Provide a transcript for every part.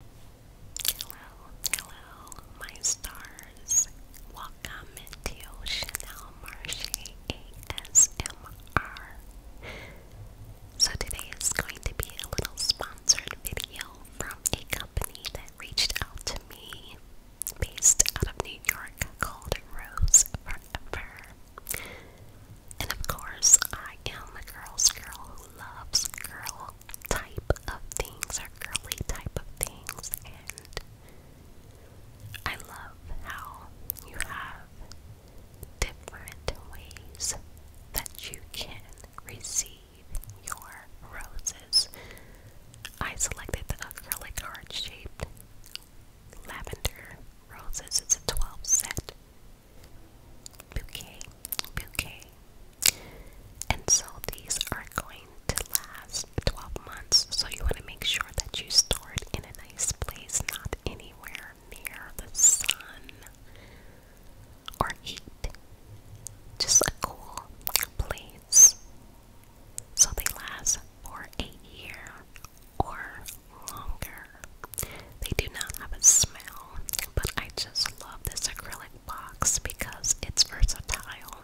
Hello, hello, my stars. Welcome to Chanel Marche ASMR. So, today is going to be a little sponsored video from a company that reached out to me based out of New York called Rose Forever. And of course, I am the girl's girl who loves girl fall type of things or girly type of things and I love how you have different ways that you can receive your roses. I selected the acrylic heart shaped lavender roses. It's a 12 set bouquet. Bouquet. And so these are going to last 12 months. So you want to make sure that you store it in a nice place, not anywhere near the sun or heat. Just a cool place. So they last for a year or longer. They do not have a smell, but I just love this acrylic box because it's versatile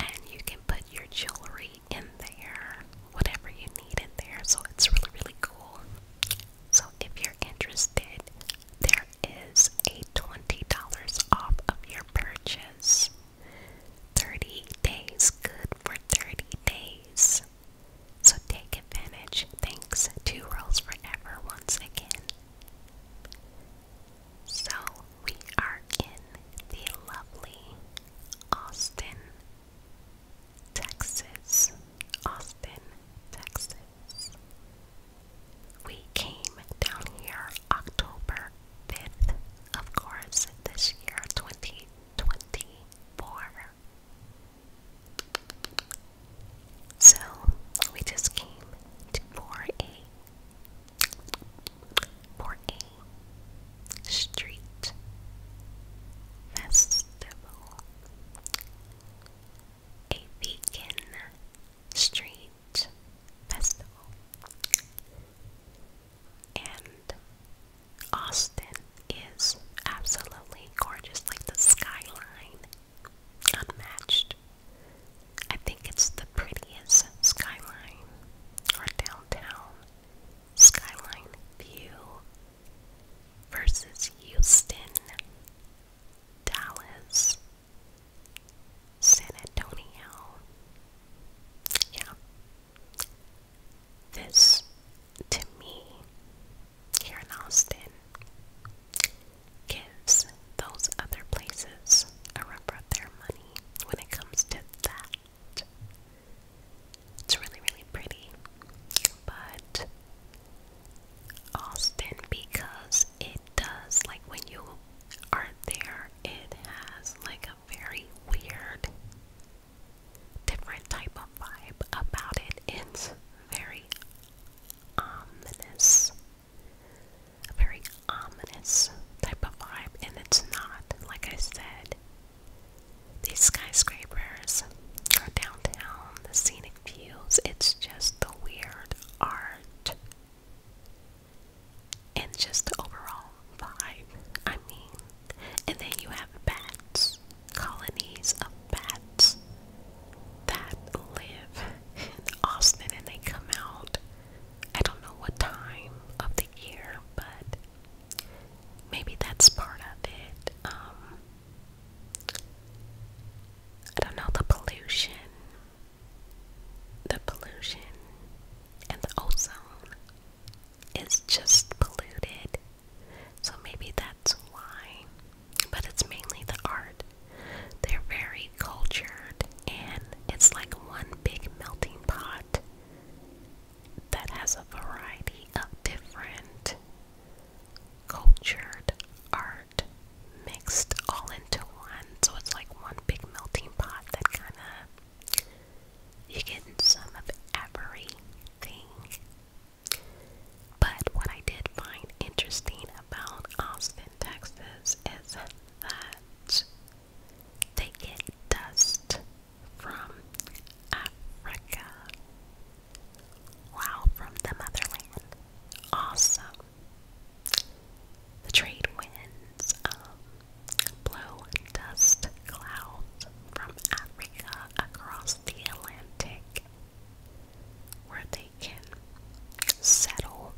and you can put your jewelry in there, whatever you need in there. So it's really, really cool. So if you're interested, there is a $20 off of your purchase. 30 days, good for 30 days. So take advantage. Thanks to Rolls Forever once again. So we are in the lovely Austin, Texas. Austin, Texas. We came down here October 5th, of course, this year 2024. So we just came to 4A 4A Street Festival. A vegan street festival. And Austin is absolutely gorgeous, like the skyline, unmatched. I think it's the prettiest skyline or downtown skyline view versus Houston, Dallas, San Antonio. Yeah. This, to me, here in Austin, gives those other places a run for their money when it comes to that. It's really, really pretty, but Austin, because it does, like when you are there, it has like a very weird, different type of vibe about it. It's very ominous a very ominous type of vibe, and it's not, like I said. These skyscrapers are downtown, the scenic views, it's just the weird art and just overall vibe. I mean, and then you have bats, colonies of bats that live in Austin and they come out I don't know what time of the year, but maybe that's part of it. Um, I don't know the pollution. The pollution and the ozone is just polluted. So maybe that's why but it's mainly the art. They're very cultured, and it's like one big melting pot that has a variety of different cultured art mixed all into one. So it's like one big melting pot that kind of you get some of everything. But what I did find interesting about Austin, Texas is that they get dust from Africa. Wow, from the motherland. Awesome. The trade winds um, blow dust clouds from Africa across the Atlantic where they can settle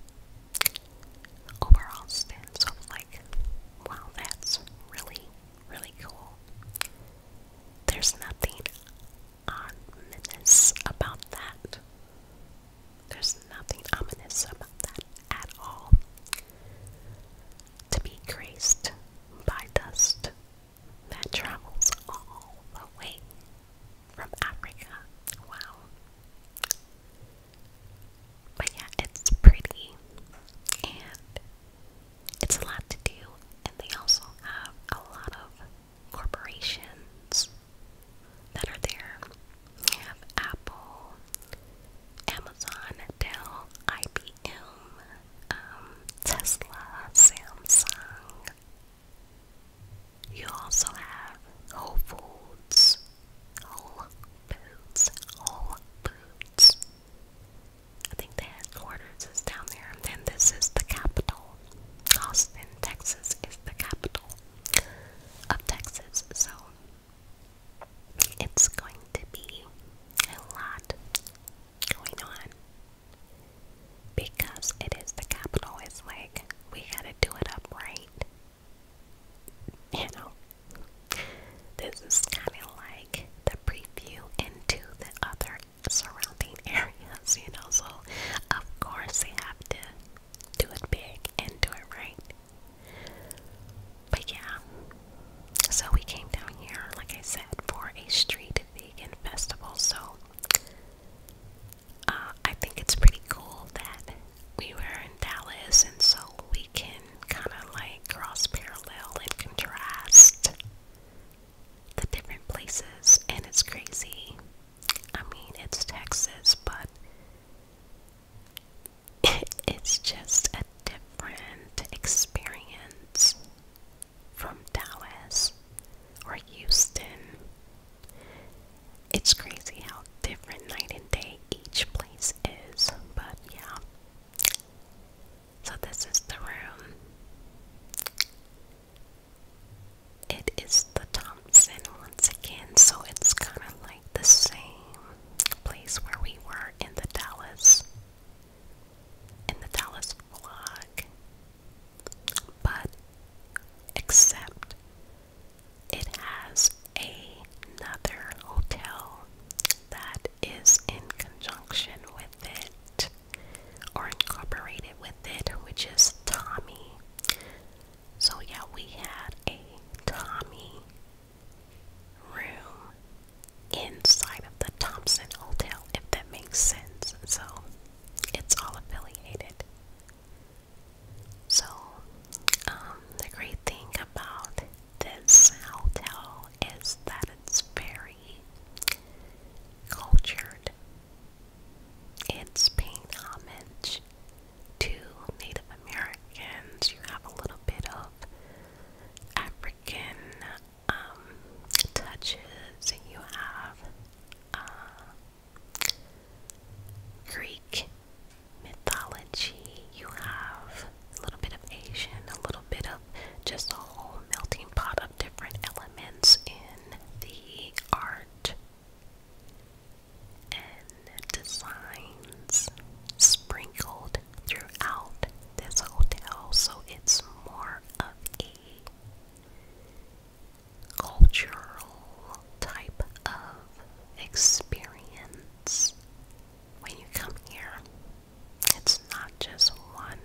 over Austin. So like, wow, that's really, really cool. There's nothing ominous about that. There's nothing ominous about that at all. To be graced by dust that travels all the way from Africa. Wow. But yeah, it's pretty and it's a lot to do, and they also have a lot of corporations that are there. You have Apple, Amazon, Dell, IBM, um, Tesla, Samsung, you also have Whole Foods, Whole Foods, Whole Foods. I think the headquarters is down there, and then this is the capital. Austin, Texas is the capital of Texas, so it's going to be a lot going on because it is the capital. It's like we gotta do it up right you know, this is kind of like the preview into the other surrounding areas, you know. So, of course, they have to do it big and do it right. But yeah, so we came down here, like I said, for a street vegan festival. So uh, I think it's pretty cool that we were in Dallas, and so we can kind of like cross parallel and contrast the different places, and it's crazy. I mean, it's Texas, but it's just a different experience from Dallas or Houston it's crazy how different night and day each place is, but yeah. So, this is the room. It is the Thompson once again, so it's kind of like the same place where we were in the Dallas, in the Dallas vlog, but except it has another hotel that is in conjunction with it or incorporated with it, which is Tommy. So, yeah, we had a Tommy room inside of the Thompson Hotel, if that makes sense. So, it's all affiliated. So, um, the great thing about this hotel is that it's very cultured. It's paying homage to Native Americans. You have a little bit of African um, touches. You have uh, Greek mythology, you have a little bit of Asian, a little bit of just a whole melting pot of different elements in the art and designs sprinkled throughout this hotel, so it's more of a cultural type of experience when you come here. It's not just one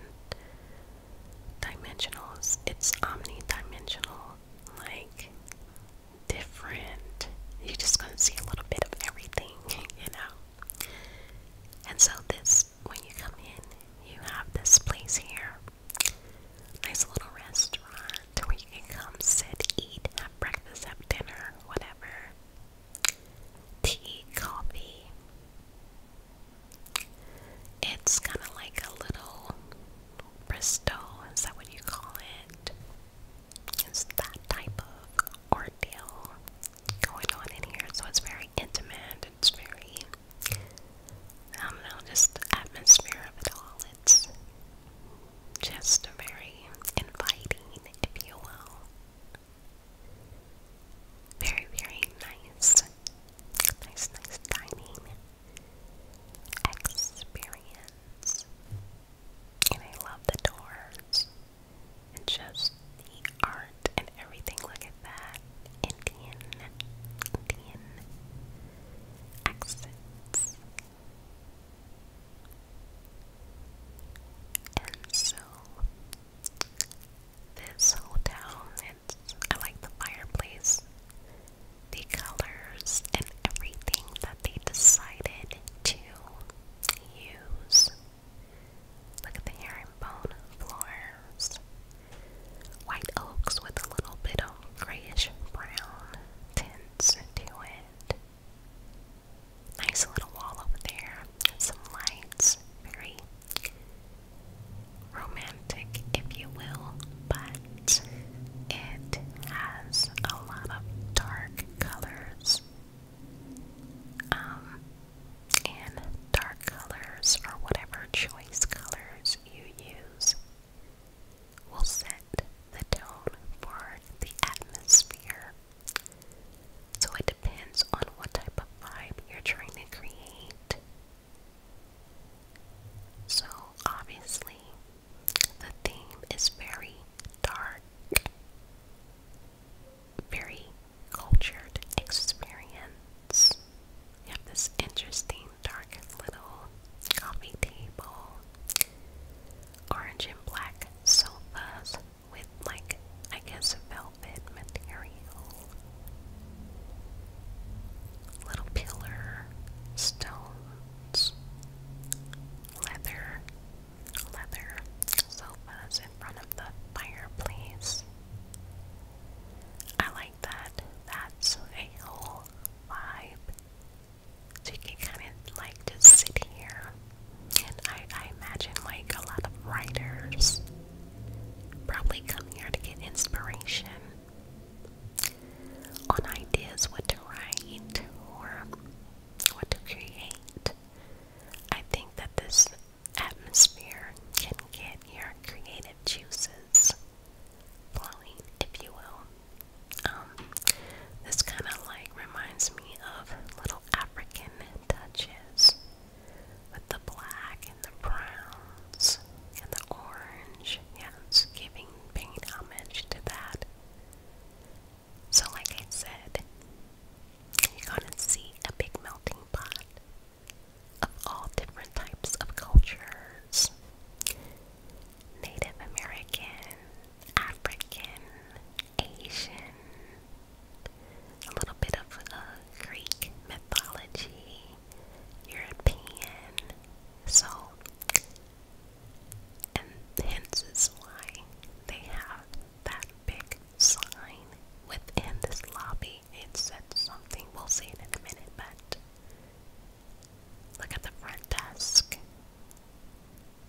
dimensional, it's omnidimensional, like different. You're just gonna see a little bit of everything, you know. And so this when you come in, you have this place here. Nice little restaurant where you can come, sit, eat, have breakfast, have dinner, whatever. Tea, coffee. It's kind of like a little Bristol, is that what you call It's that type of ordeal going on in here, so it's very intimate, it's very, I don't know, just the atmosphere of it all. It's just a very inviting, if you will. Very, very nice. Nice, nice dining experience. And I love the doors and just the art and everything. Look at that. Indian, Indian accents and so this whole town, it's I like the fireplace, the colors, and everything that they decided to use. Look at the herringbone floors. White oaks with a little bit of grayish brown tints to it. Nice little wall over there. Some lights. Very romantic, if you will, but it has a lot of dark colors. Um, and dark colors, or whatever choice colors you use, will set the tone for the atmosphere. So it depends on what type of vibe you're trying to create. So obviously, the theme is very dark, very cultured experience. You have this interesting dark little coffee table orange and black sofas with like I guess velvet material. Little pillar, stones, leather, leather sofas in front of the fireplace. I like that. That's a whole vibe. So you can kind of like just sit here. And I, I imagine like a lot of writers probably come here to get inspiration on ideas what to write or what to create. I think that this atmosphere can get your creative juices flowing, if you will. Um, this kind of like reminds me of little African touches with the black and the browns and the orange. Yeah, it's giving paying homage to that. So, like I said, you're gonna see a big melting pot of all different types of cultures. Native American, African, Asian, a little bit of uh, Greek mythology, European. So, and hence is why they have that big sign within this lobby. It said something, we'll see it in a minute, but Look at the front desk.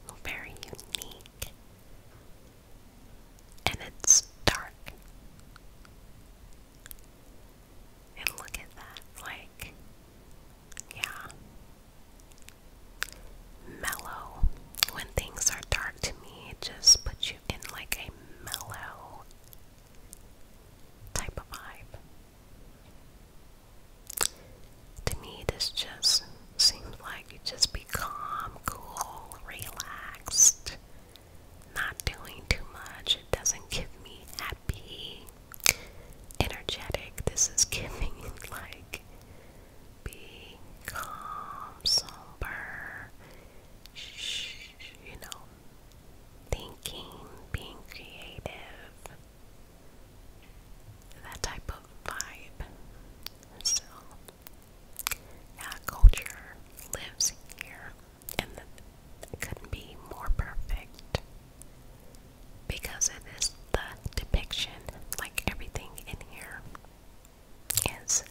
Oh, very unique. And it's dark. And look at that. Like, yeah. Mellow. When things are dark to me, it just puts you in like a mellow type of vibe. To me, this just seems like just be calm, cool, relaxed, not doing too much. It doesn't give me happy, energetic. This is giving like be calm, somber, shh, you know, thinking, being creative that type of vibe. So, yeah, culture lives here, and it couldn't be more perfect because it is the depiction, like everything in here is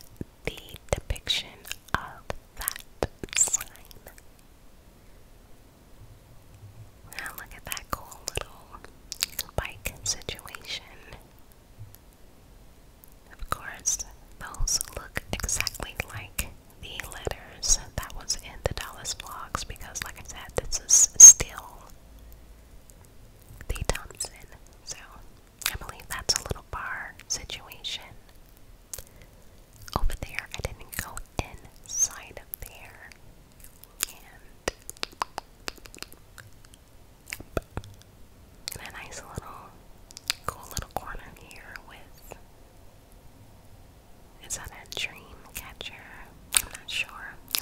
the depiction of that sign. Now look at that cool little bike situation. Of course, those look exactly like the letters that was in the Dallas vlogs because like I said, this is still the Thompson. So I believe that's a little bar situation. Over there, I didn't go inside of there and, and a nice little cool little corner here with is that a dream catcher? I'm not sure.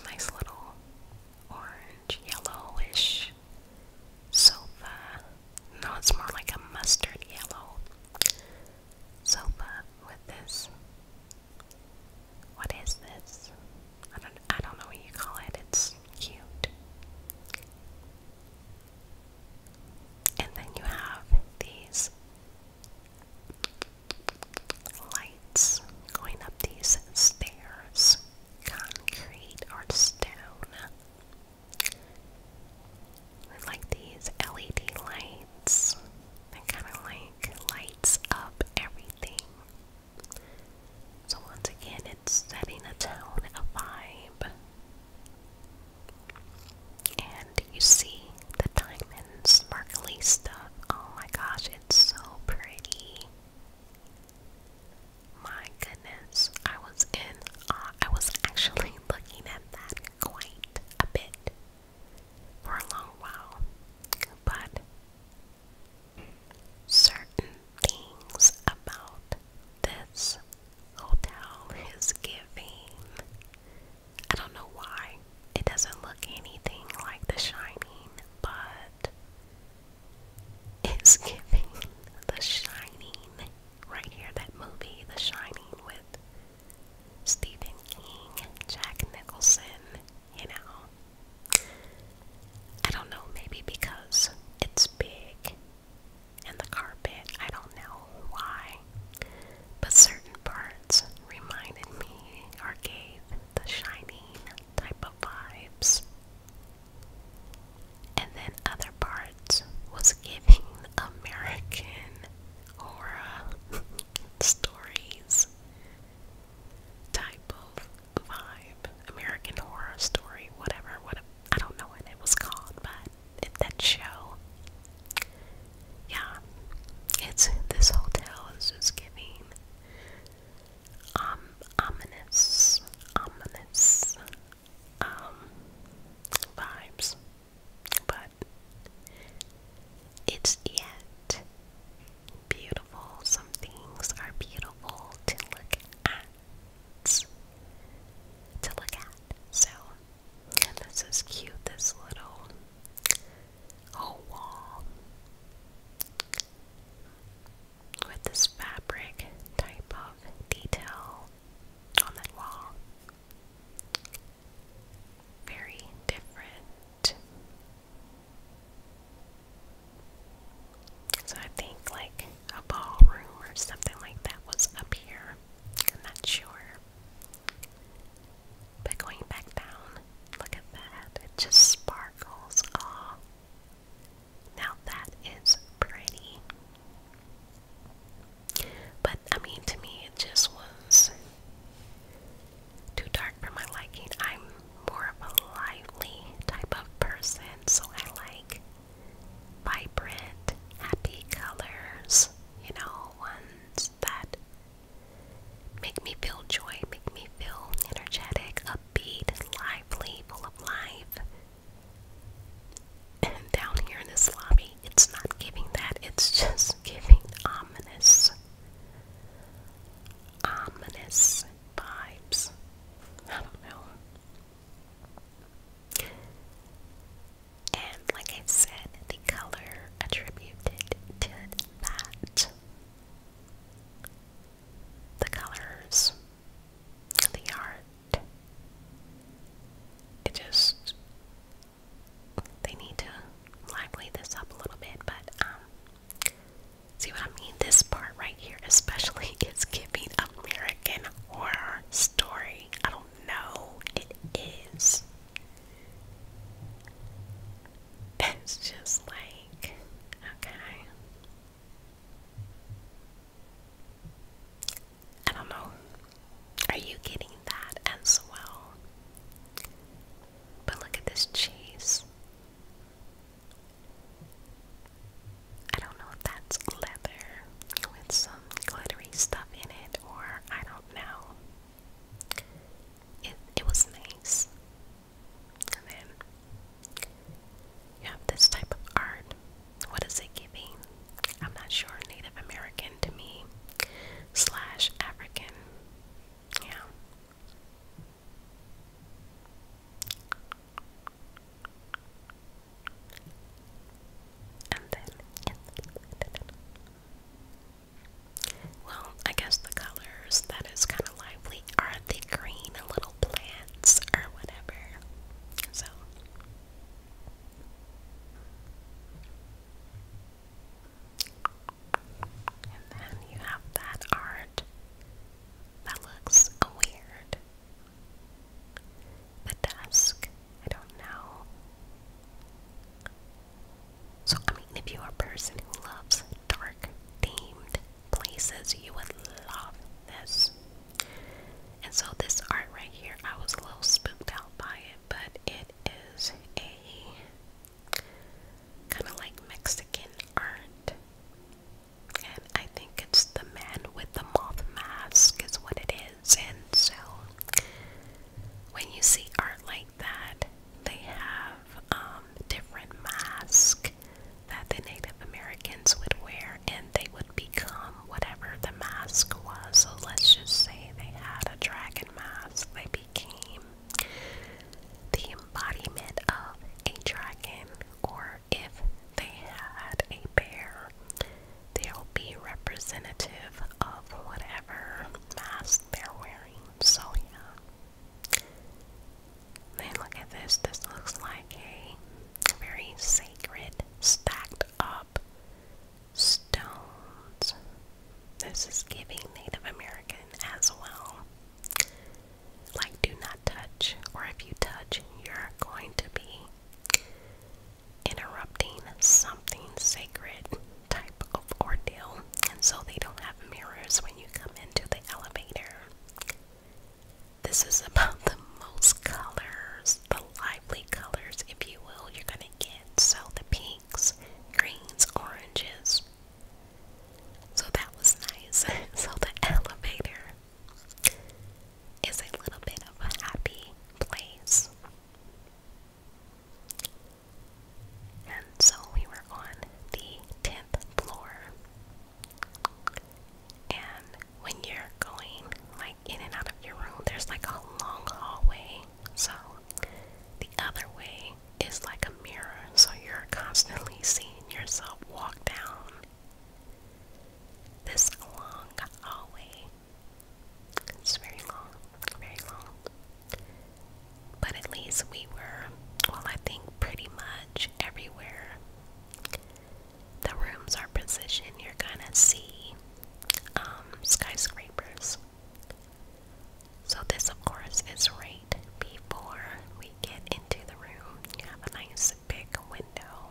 A nice little orange, yellowish sofa. No, it's more like a mustard yellow sofa with this what is this? I don't I don't know what you call it. It's cute. And then you have these lights going up these stairs. Concrete or stone. I like these LED lights. They kind of like lights up everything. So, once again, it's setting a tone, a vibe. And you see the diamond sparkly stuff. Oh my gosh, it's so pretty. My goodness, I was in awe. I was actually looking at that quite a bit for a long while. But Certain things about this hotel is giving. I don't know why. It doesn't look anything like The Shining, but it's giving The Shining. Right here, that movie, The Shining, with Stephen King, Jack Nicholson, you know. I don't know, maybe because it's big and the carpet, I don't know why, but certain parts reminded me or gave the shining type of vibes. And then other parts was giving American horror stories type of vibe. American Horror Story, whatever, what I don't know what it was called, but that show. Yeah, it's this hotel is just giving um ominous, ominous um vibes, but it's yet beautiful. Some things are beautiful to look at. To look at. So, this is cute. This little wall with this fabric type of detail on that wall. Very different so I think like a ballroom or something like that was up here. I'm not sure. But going back down, look at that. It just sparkles. Aw. Now that is pretty. But I mean, to me, it just was too dark for my liking. I'm more of a lively type of person, so I like vibrant, happy colors, you know, ones that make me feel joy, make me feel energetic, upbeat, lively, full of life. And down here in this lobby, it's not giving that, it's just giving ominous. Ominous vibes. I don't know. And like I said, the color attributed to that. The colors, the art. It just they need to lively this up a little bit, but um, See what I mean? This part right here, especially, is giving American horror story. I don't know. It is. It's just like, okay. I don't know. Are you getting that as well? But look at this cheese. I don't know if that's leather with some glittery stuff in it, or I don't know. It it was nice. And then you this type of art. What is it giving? I'm not sure. Native American to me, slash African. Yeah. Well, I guess the colors that is kind of lively are the green little plants or whatever. So. And then you have that art that looks weird. The desk? I don't know. So, I mean, if you are person who loves dark themed places, you would love this. And so, this art right here, I was a little spooked out by it, but it is a kind of like Mexican art. And I think it's the man with the moth mask is what it is. And so when you see art like that, they have um, different masks that the Native Americans would wear and they would become whatever the mask was. So let's just say they had a dragon mask. They became the embodiment of a dragon or if they had a bear, they'll be representative of whatever mask they're wearing. So, yeah. Then look at this. This looks like a very sacred, stacked up stones. This is giving Native American as well like do not touch, or if you touch, you're going to be interrupting something sacred type of ordeal. And so they don't have mirrors when you come into the elevator. This is about the most colors, the lively colors, if you will, you're going to get. So the pinks, greens, oranges. So that was nice. so the elevator is a little bit of a happy place. And so we were on the 10th floor. And when you're going like in and out of your room, there's like a long hallway. So the other way is like a mirror, so you're constantly seeing yourself walk down this long hallway. It's very long, very long. But at least we were, well, I think pretty much everywhere. The rooms are positioned, you're gonna see um, skyscrapers. So, this, of course, is right before we get into the room, you have a nice big window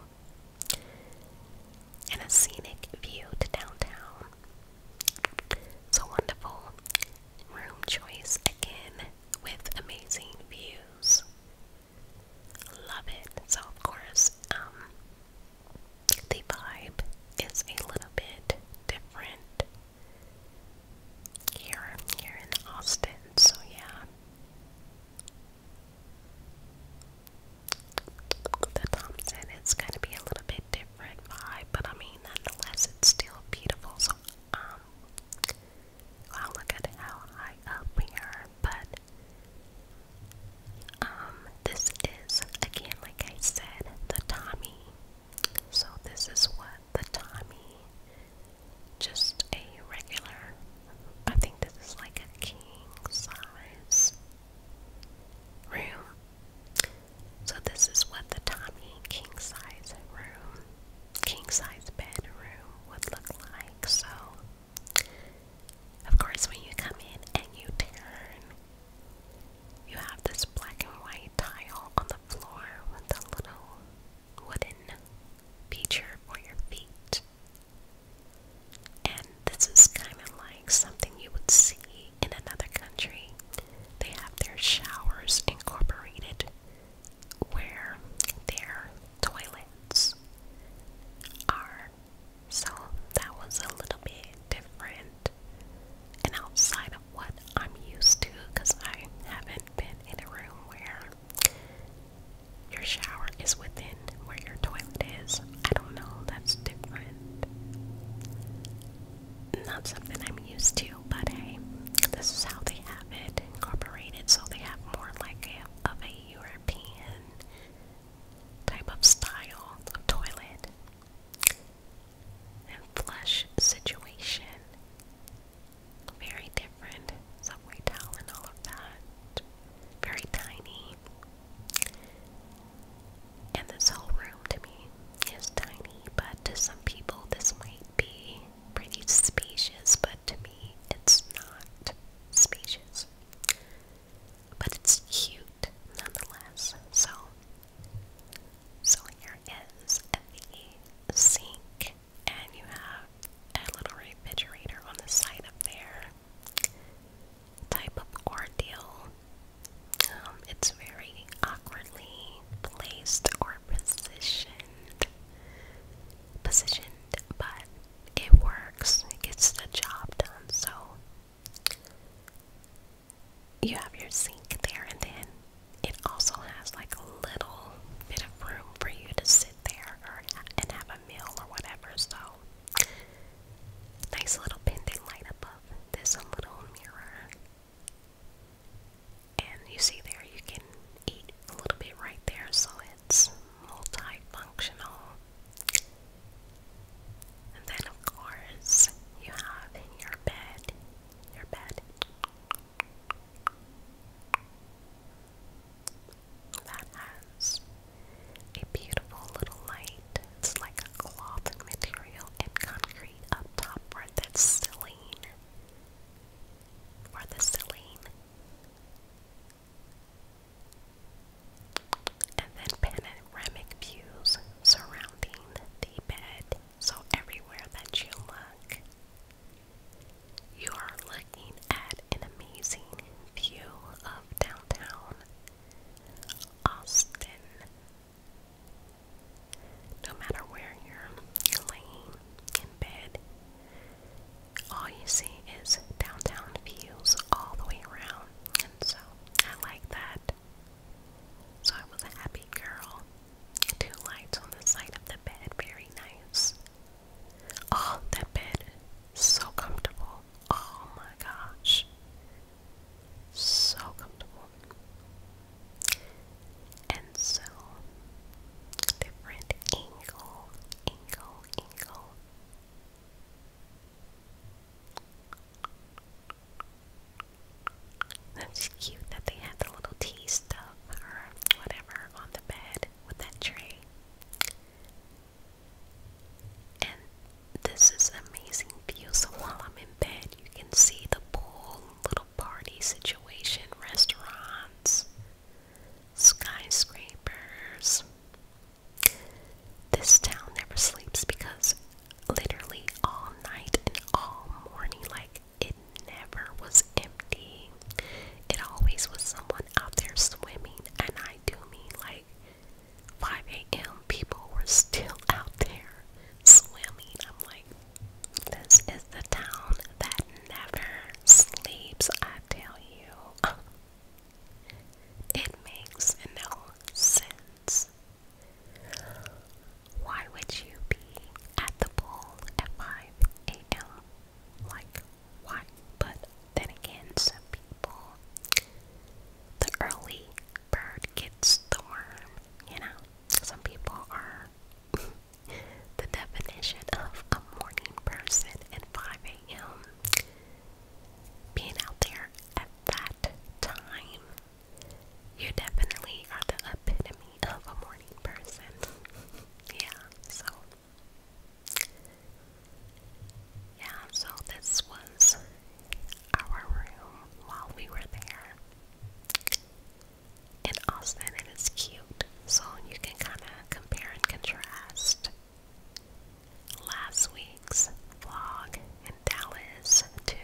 and a scenic view to downtown. So wonderful room choice again with amazing views. Love it. So of course, um, the vibe is a little bit different here here in Austin. So yeah, the Thompson, it's going to be a little bit different vibe, but I mean, nonetheless, it's still beautiful. So, um, i look at how high up we but, um, this is, again, like I said, the Tommy. So, this is what the Tommy just a regular. I think this is like a king size room. So this is what the Tommy king size room, king size bedroom would look like. So of course when you come in and you turn, you have this black and white tile on the floor with the little wooden feature for your feet. And this is kind of like something you would see in another country. They have their showers incorporated where their toilets are. So that was a little bit different and outside of what I'm used to because I haven't been in a room where your shower is within where your toilet is. I don't know, that's different. Not something I'm used to, but hey, this is how they have it incorporated, so they have more like of a European type of style of toilet and flush situation. Very different. Subway towel and all of that. Very tiny. And this whole room to me is tiny, but to some people this might be pretty spacious, but to me it's not spacious. But it's cute nonetheless. So so here is the sink and you have a little refrigerator on the side of there. Type of ordeal. Um, it's very awkwardly placed or positioned. Positioned, but it works. It gets the job done. So you have your sink there, and then it also has like a little bit of room for you to sit there or and have a meal or whatever. So, nice little pendant light above. There's a little mirror. And you see there, you can eat a little bit right there, so it's multifunctional. then, of course, you have your bed. Your bed that has a beautiful little light. It's like a cloth material and concrete up top where that's silane. Or the silane. And then panoramic views surrounding the bed. So everywhere that you look, you are looking at an amazing view of downtown Austin. No matter where you're laying in bed, all you see is downtown views all the way around, and so I like that. So I was a happy girl. Two lights on the side of the bed, very nice. Oh, that bed is so comfortable. Oh my gosh. So comfortable. And so different angle, angle, angle. That's cute that they had the little tea stuff or whatever on the bed with that tray. And this is amazing view. So while I'm in bed, you can see the pool, little party situation, restaurants, skyscrapers. This town never sleeps because literally all night and all morning, like it never was empty. It always was someone out there swimming, and I do mean like 5 a.m. people were still out there swimming. I'm like, this is the town that never sleeps, I tell you. It makes no sense. Why would you be at the pool at 5 a.m.? Like, why. But then again, some people, the early bird gets the worm, you know? Some people are the definition of a morning person at 5 a.m. Being out there at that time, you definitely are the epitome of a morning person. yeah, so yeah, so this was our room while we were there. In Austin, it is cute, so you can kind of compare and contrast last week's vlog in Dallas to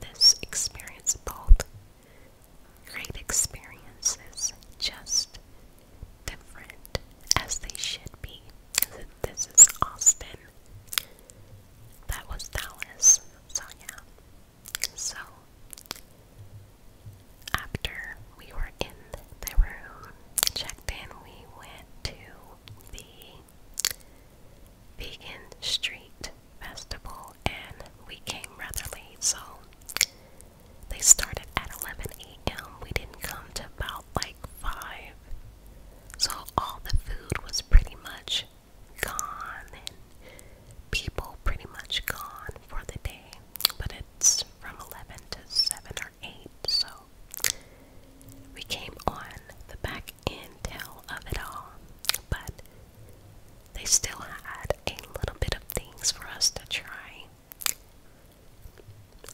this experience. Both great experiences, just different as they should be. This is Austin. That was Dallas. So, yeah. So, after we were in the room, checked in, we went to the Vegan Street Festival and we came rather late. So, they started at 11 a.m. We didn't come to about like 5. So all the food was pretty much gone and people pretty much gone for the day. But it's from 11 to 7 or 8. So we came on the back end tail of it all. But they still had a little bit of things for us to try.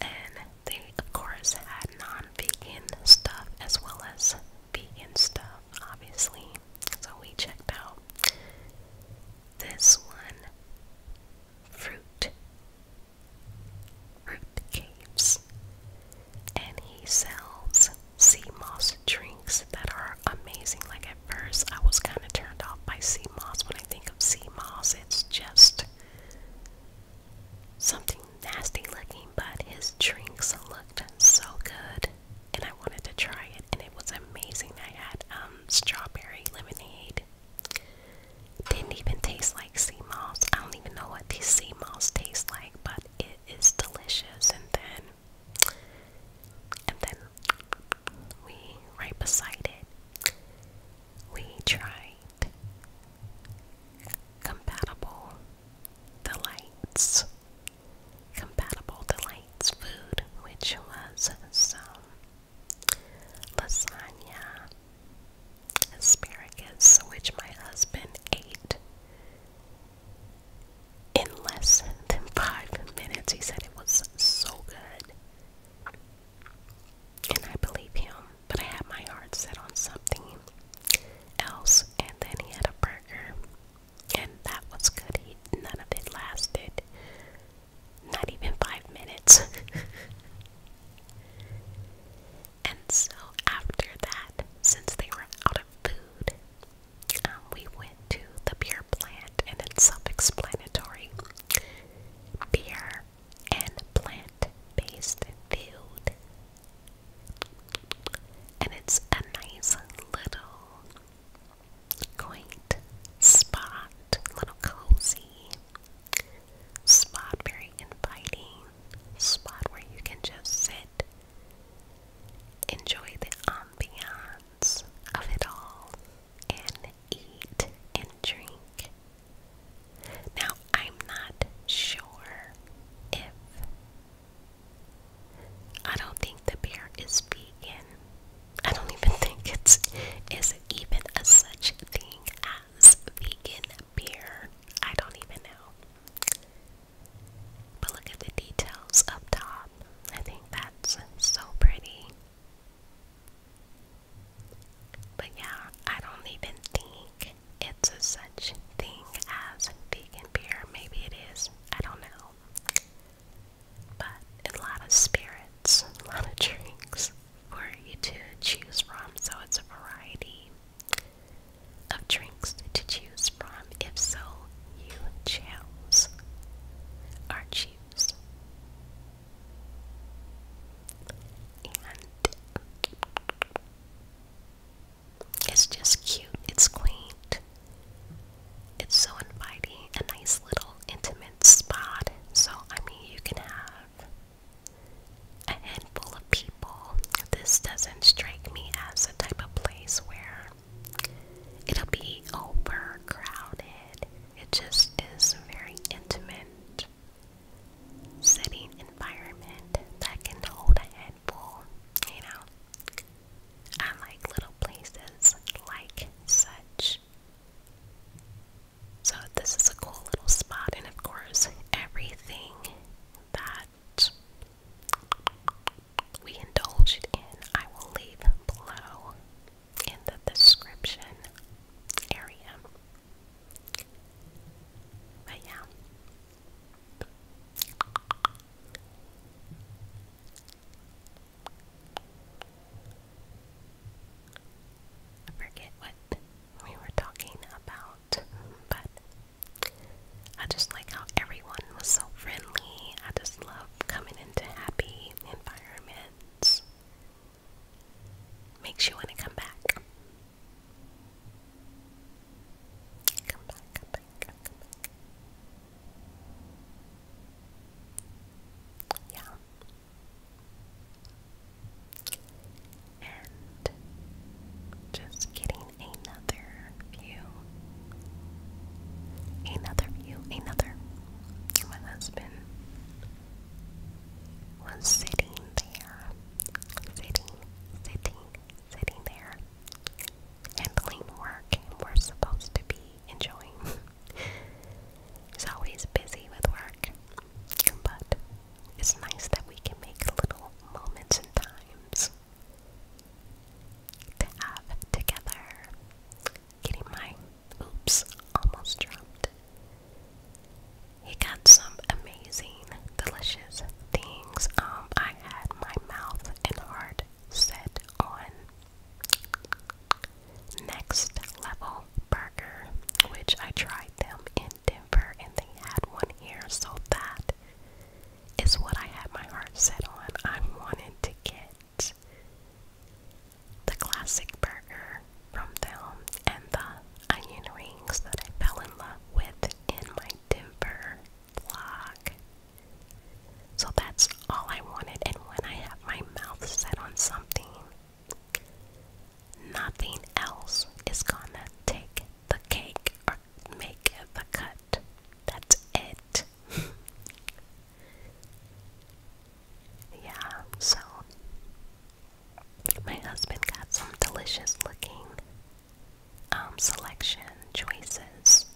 And they, of course, had non vegan stuff as well as vegan stuff, obviously. So we checked out this one fruit, fruit caves. And he sells sea moss drinks that are amazing. Like at first, I was kind of turned off by sea moss. When I think of sea moss, it's just Something nasty looking, but his drinks looked so good, and I wanted to try it, and it was amazing. I had um, strawberry lemonade. Didn't even taste like sea moss. I don't even know what these sea moss taste like, but it is delicious. And then, and then we right beside it we tried compatible delights, compatible delights food, which was lasagna, asparagus, which my husband ate in less than five minutes. He said it was so good. And I believe him, but I had my heart set on something else. And then he had a burger, and that was good. He, none of it lasted, not even five minutes. and so after that, since they were out of food, um, we went to the beer plant, and it's self-explanatory. Beer and plant-based food. And it's a nice little quaint spot, little cozy spot, very inviting spot where you can just sit, enjoy the ambiance of it all, and eat and drink now, I'm not sure if. I don't think the beer is vegan. I don't even think it's is even a such thing as vegan beer. I don't even know. But look at the details up top. I think that's so pretty. But yeah, I don't even think it's a such thing as vegan beer. Maybe it is. I don't know. But a lot of spirits, a lot of drinks for you to choose from. So it's a variety of drinks to choose from. If so, you chose or choose it's just cute, it's quaint, it's so inviting, a nice little intimate spot. So, I mean, you can have a handful of people. This doesn't strike me as the type of place where it'll be overcrowded, it just is very intimate. Setting environment that can hold a head full, you know. I like little places like such. So, this is a cool little spot, and of course, everything that we indulge in, I will leave below in the description area. But yeah. forget what we were talking about, but I just like how everyone was so friendly. I just love coming into happy environments. Makes you want to come back. Come back, come back, come back. Yeah. And just getting another view. Another view, another. My husband was sitting there, sitting, sitting, sitting there, handling work we're supposed to be enjoying. He's always busy with work, but it's nice that we can make little moments and times to have together. Getting my oops almost dropped he got some amazing, delicious things. Um, I had my mouth and heart set on Next Level Burger, which I tried them in Denver and they had one here, so that is what I had my heart set on. I wanted to get the classic burger from them and the onion rings that I fell in love with in my Denver block. So that's all I wanted, and when I have my mouth set on something, nothing else is gonna take the cake or make the cut. That's it. yeah, so my husband got some delicious looking um, selection choices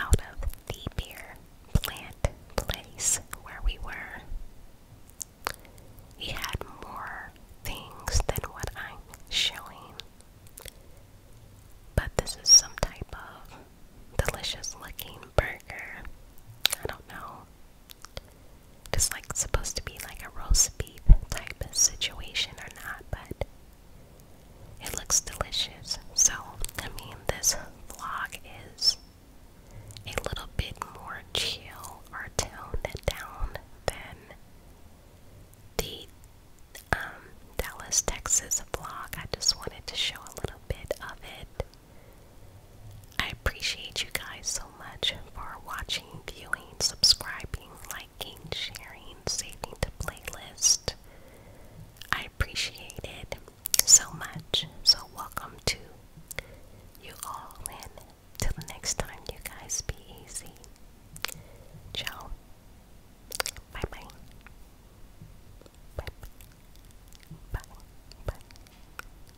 out of the beer plant place where we were. He had more things than what I'm showing. But this is some type of delicious looking burger. I don't know. It's like supposed to be like a roast beef type of situation or not, but it looks delicious. So, I mean, this vlog is a little bit more chill or toned down than the um, Dallas, Texas vlog. I just wanted to show a little bit of it I appreciate you guys so much for watching, viewing, subscribing, liking, sharing, saving the playlist. I appreciate it so much. So, welcome to you all, and till the next time, you guys be easy. Ciao. Bye bye. Bye bye. Bye bye.